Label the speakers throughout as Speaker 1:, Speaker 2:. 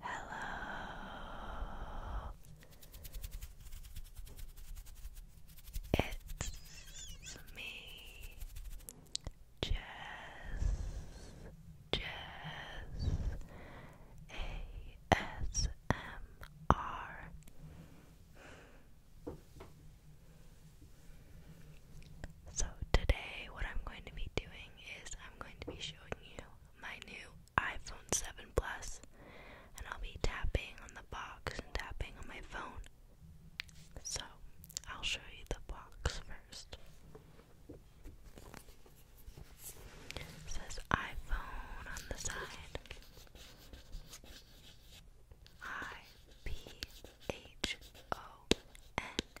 Speaker 1: Hello. It's me. Jess. Jess. ASMR. So, today, what I'm going to be doing is I'm going to be showing you my new iPhone 7 Plus, and I'll be tapping on the box and tapping on my phone. So, I'll show you the box first. says iPhone on the side. I P H O N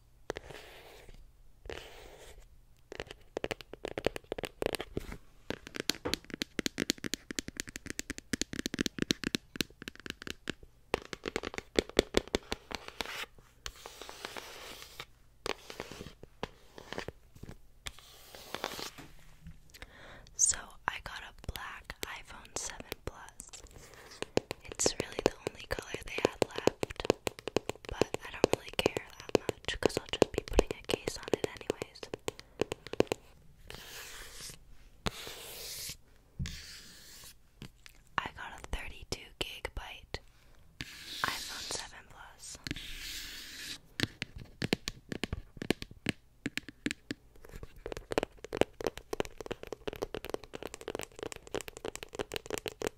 Speaker 1: So, I got a black iPhone 7 Plus. It's really the only color they had left, but I don't really care that much because I'll just be putting a case on it anyways. I got a 32 gigabyte iPhone 7 Plus.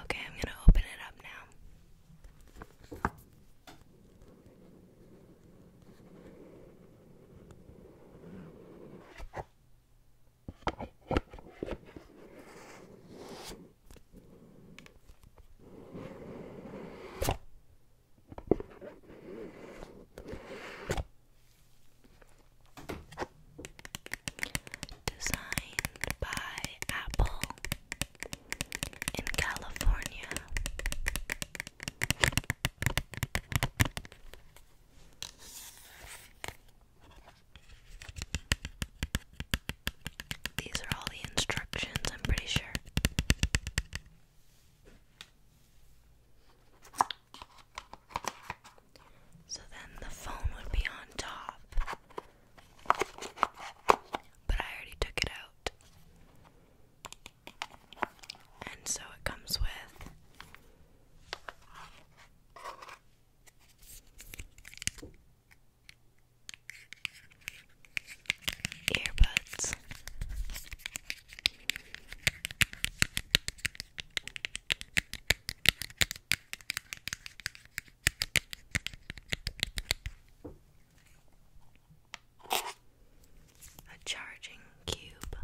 Speaker 1: Okay, I'm going to open it up now. Designed by Apple in California these are all the instructions, I'm pretty sure. So then the phone would be on top. But I already took it out. And so it comes with earbuds a charging cube.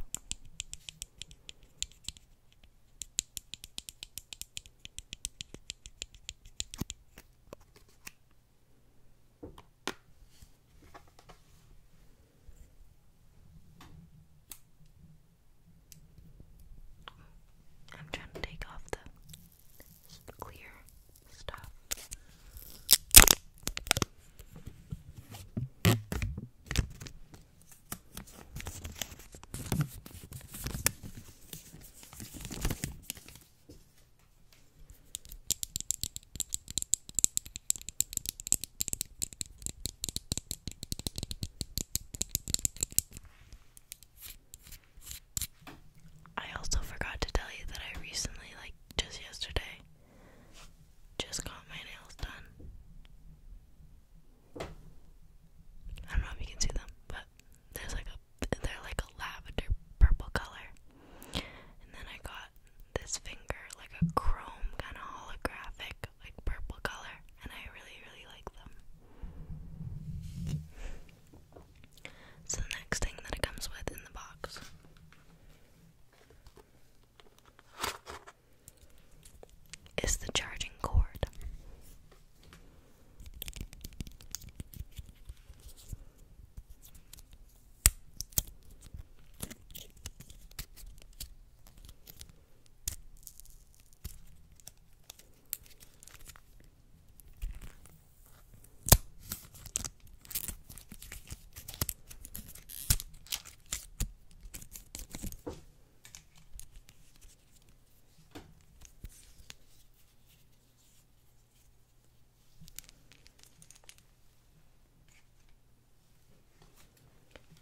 Speaker 1: I'm trying to take off the clear stuff. I also forgot to tell you that I recently, like just yesterday, just got my nails done. I don't know if you can see them, but there's like a they're like a lavender purple color. And then I got this finger like a chrome kind of holographic like purple color, and I really really like them. So the next thing that it comes with in the box is the charging cord.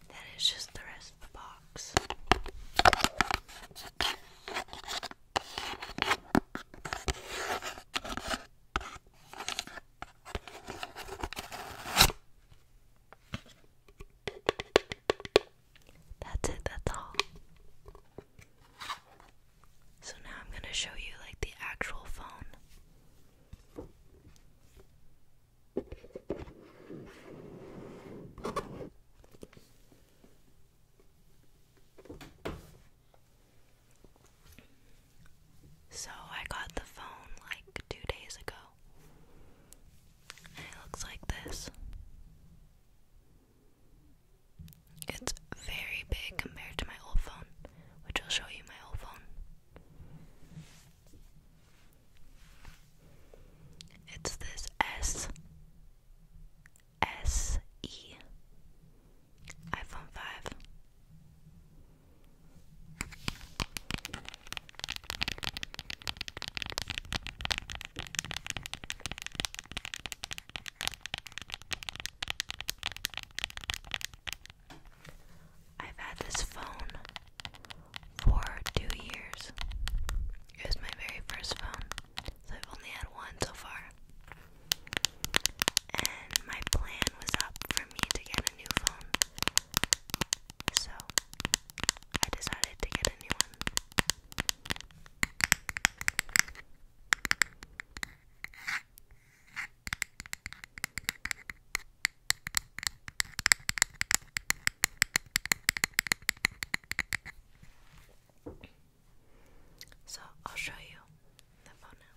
Speaker 1: That is just the rest of the box. That's it, that's all. So now I'm going to show you like the actual phone. So I got the phone like two days ago. And it looks like this. It's very big compared to my old phone, which I'll show you my old phone. It's this S S E iPhone 5. I've had this phone for two years. It was my very first phone, so I've only had one so far and my plan was up for me to get a new phone. So I decided to get a new one. So I'll show you the phone now.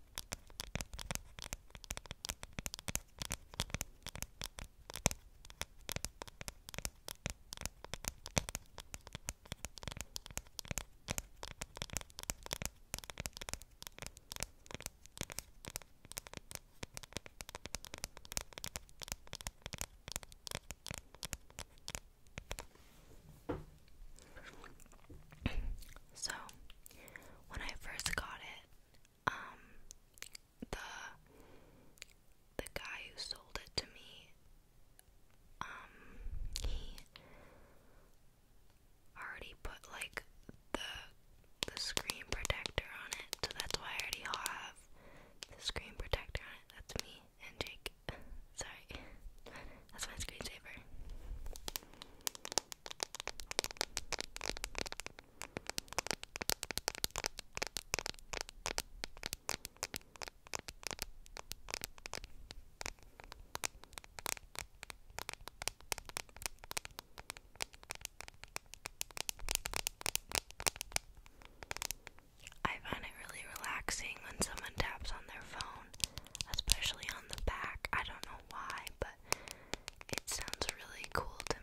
Speaker 1: So, when I first got it, um the the guy who sold it to me um he already put like the the screen protector on it so that's why I already have the screen protector on it that's me and Jake sorry that's my screensaver I found it really relaxing when someone taps on their phone, especially on the back. I don't know why, but it sounds really cool to me.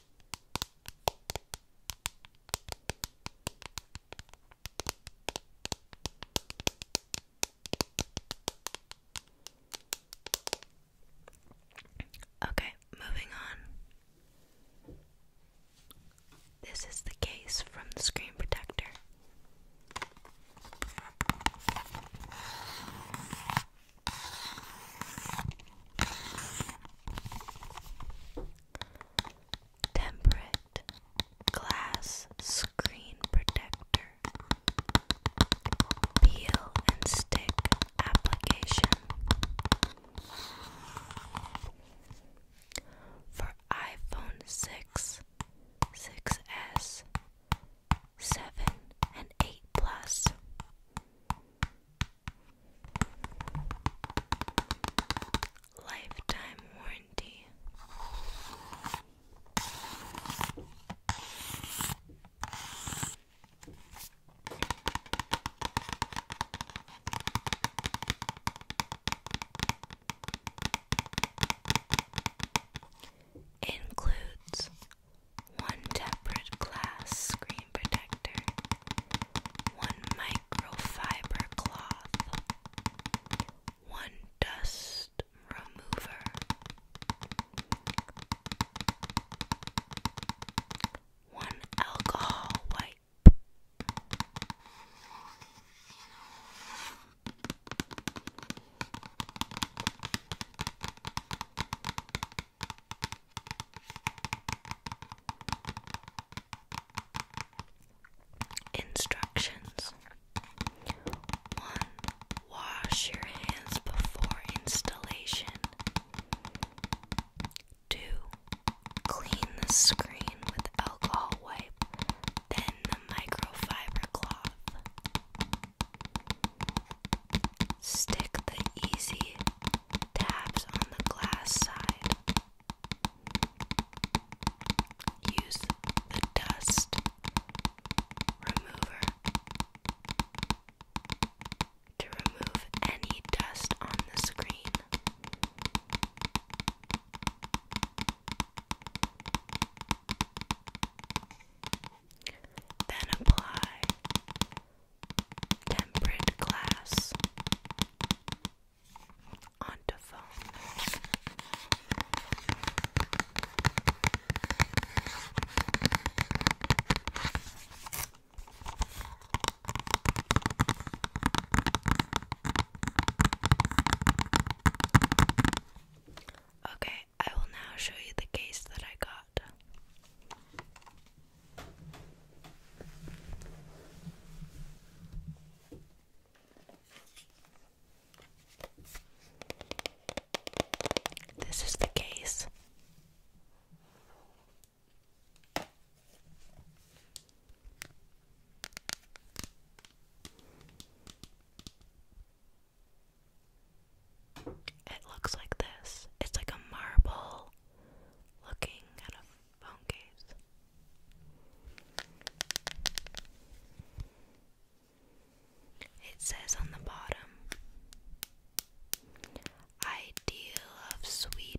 Speaker 1: Okay, moving on. This is the case from the screen protector. Temperate glass screen protector. Peel and stick application. For iPhone 6, 6S, 7, and 8 Plus. Lifetime warranty. Includes one tempered glass screen, cream protector, one microfiber cloth, one dust remover, one alcohol wipe. Instructions 1. Wash your hands before installation. 2. Clean the screen with alcohol wipe, then the microfiber cloth. Stick the easy tabs on the glass side. Use the dust remover to remove any dust on the screen. Then apply tempered glass onto foam. Okay, I will now show you the case that I got. This is the case. It looks like this. It's like a marble looking at a phone case. It says on the bottom Ideal of Sweden.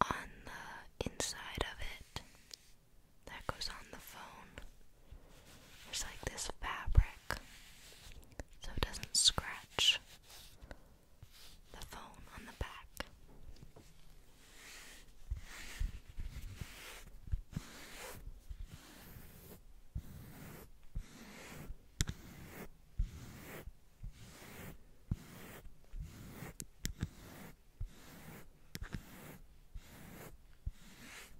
Speaker 1: On the inside of it that goes on the phone, there's like this fabric so it doesn't scratch the phone on the back.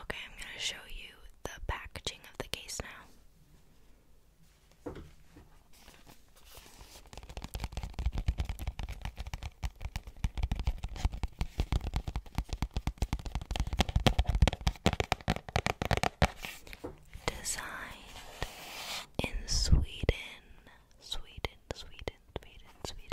Speaker 1: Okay, I'm going to show you the packaging of the case now. Designed in Sweden Sweden, Sweden, Sweden, Sweden.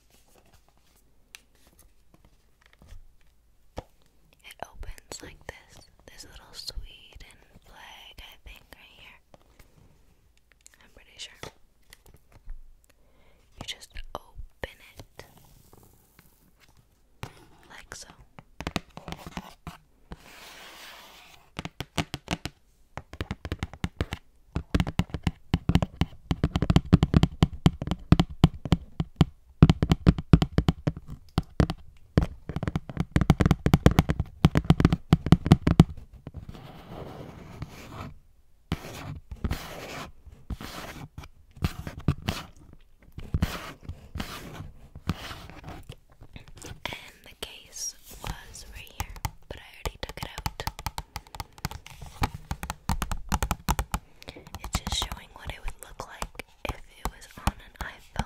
Speaker 1: It opens like this. This little Sweden flag, I think, right here. I'm pretty sure. You just open it. Like so. And the case was right here, but I already took it out. It's just showing what it would look like if it was on an iPhone.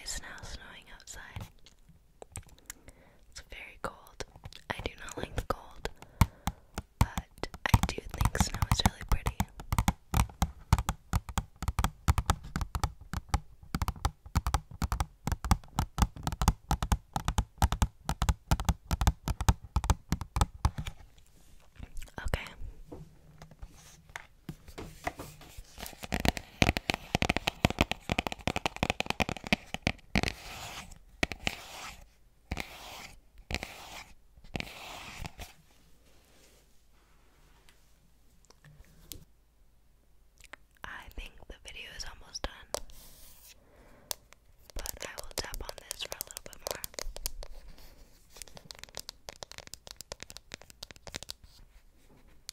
Speaker 1: It's now snowing outside. It's very cold. I do not like the cold, but I do think snow is really pretty. Okay. I think the video is almost done, but I will tap on this for a little bit more.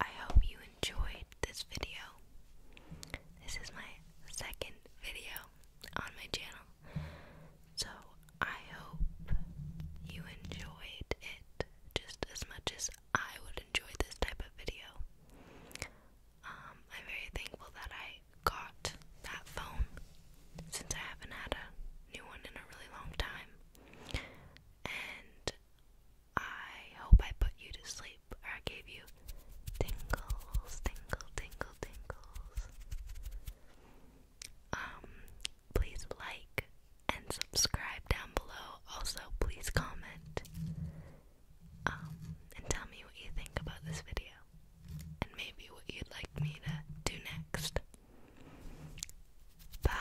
Speaker 1: I hope you enjoyed this video. This is my second video on my channel, so I hope you enjoyed it just as much as I would enjoy this type of video. Um, I'm very thankful that I got that phone since I haven't had a new one in a really long time. I hope I put you to sleep or I gave you tingles, tingle, tingle, tingles. Um, please like and subscribe down below. Also, please comment um, and tell me what you think about this video and maybe what you'd like me to do next. Bye.